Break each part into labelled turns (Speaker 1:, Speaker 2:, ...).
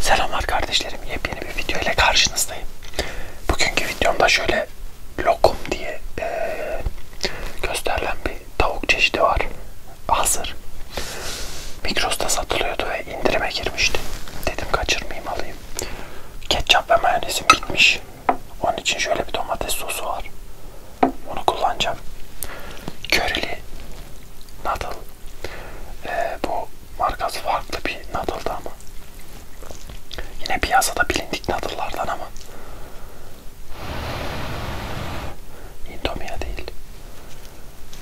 Speaker 1: Selamlar kardeşlerim. Yepyeni bir video ile karşınızdayım. Bugünkü videomda şöyle lokum diye ee, gösterilen bir tavuk çeşidi var. Hazır. Migros'ta satılıyordu ve indirime girmişti. Dedim kaçırmayayım alayım. Ketçap ve mayonezim gitmiş. Onun için şöyle bir domates sosu var. Onu kullanacağım. Körili, nadal, ee, bu markası farklı bir nadıldı ama. Yine piyasada bilindik nadıllardan ama. Indomia değil.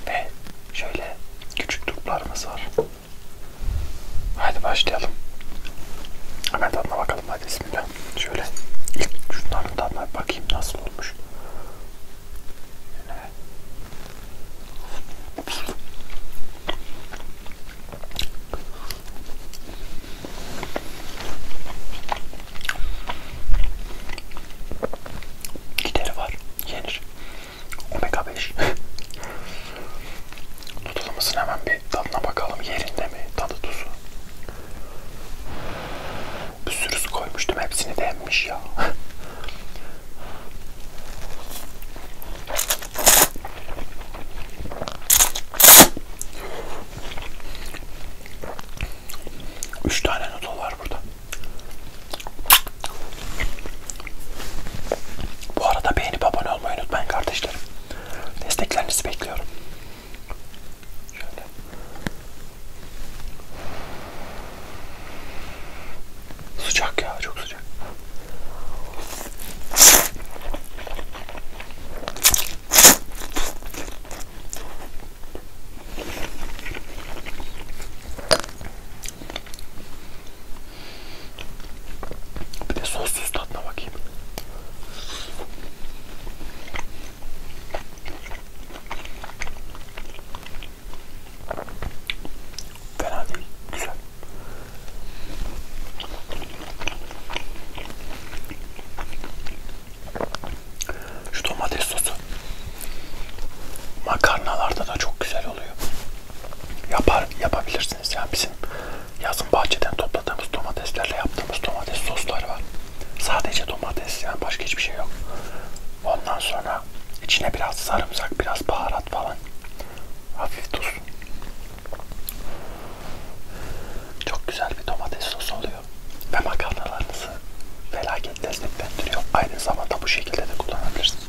Speaker 1: Ve şöyle küçük turplarımız var. Haydi başlayalım. Hemen tadına bakalım hadi bismillah. Şöyle ilk şunların tadına bakayım nasıl olmuş. Gideri var. Yenir. Omega 5. Tutulmasın hemen bir tadına bakalım. Yerinde mi? Tadı tuzu. Bir sürüsü koymuştum. Hepsini de emmiş ya. Üç tane noodle var burada. Bu arada beğenip abone olmayı unutmayın kardeşlerim. Desteklerinizi bekliyorum. Şöyle. Sıcak ya, çok sıcak. Bir de sossuz tadına bakayım. Fena değil. Güzel. Şu domates sosu makarnalarda da çok güzel oluyor. Yapar yapabilirsiniz. Yani bizim yazın bahçeden topladığımız domateslerle yaptığımız domates sosları var. Sadece domates yani başka hiçbir şey yok. Ondan sonra içine biraz sarımsak, biraz baharat falan. Hafif tuz. Çok güzel bir domates sosu oluyor. Ve makarnalarınızı felaket lezzetlendiriyor. Aynı zamanda bu şekilde de kullanabilirsiniz.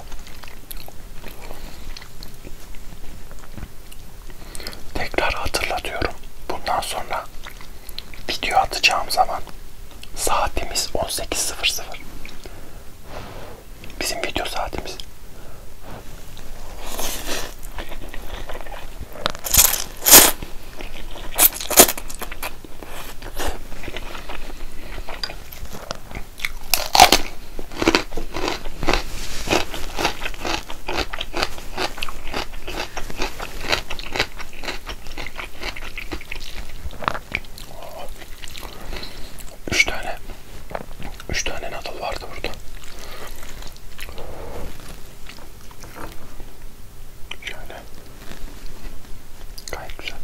Speaker 1: baba. Tekrar hatırlatıyorum. Bundan sonra video atacağım zaman saatimiz 18.00. Bizim video saatimiz. Üç tane, üç tane nadal vardı burada. Şöyle. Gayet güzel.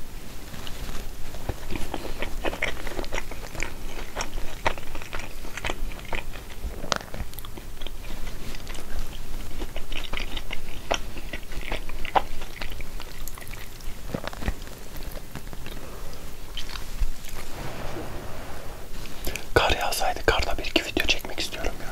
Speaker 1: Kar yağsaydı karda bir iki video çekmek istiyorum ya.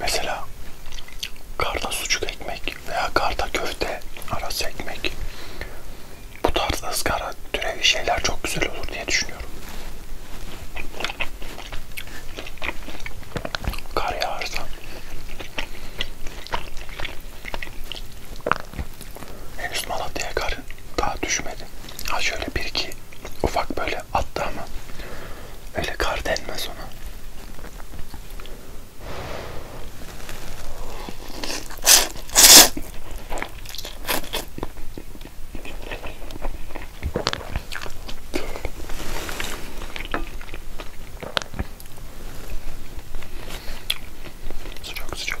Speaker 1: Mesela karda sucuk ekmek veya karda köfte arası ekmek bu tarz ızgara türevi şeyler çok güzel olur diye düşünüyorum. Kar yağarsa henüz Malatya'ya kar daha düşmedi. Ha şöyle bir iki sanki ufak böyle attı ama öyle kar denmez ona. Sıcak sıcak.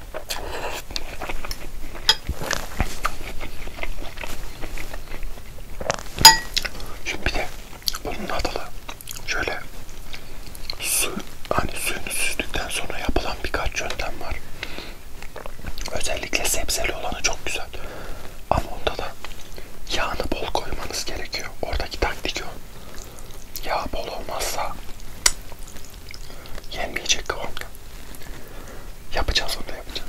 Speaker 1: Şimdi bir de bunun adalı şöyle su hani suyunu süzdükten sonra yapılan birkaç yöntem var. Özellikle sebzeli olanı çok güzel. Ama onda da yağını bol koymanız gerekiyor. Oradaki taktik o. Yağ bol olmazsa Yenmeyecek kıvamda. Yapacağız onu da yapacağız.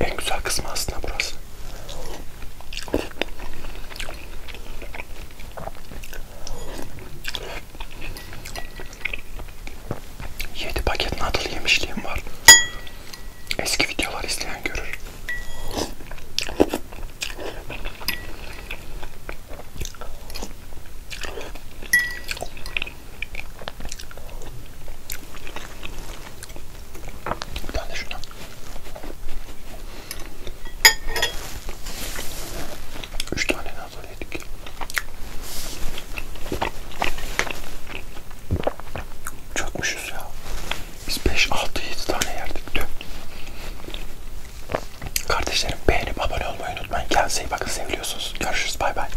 Speaker 1: En güzel kısmı aslında burası. Yedi paket nadal yemişliğim var. Eski videolar izleyen görür. Bir tane de şuna. Üç tane nazar yedik. Çakmışız ya. Biz 5-6-7 tane yerdik dün. Kardeşlerim beğenip abone olmayı unutmayın. Kendinize iyi bakın. Seviliyorsunuz. Görüşürüz. Bay bay.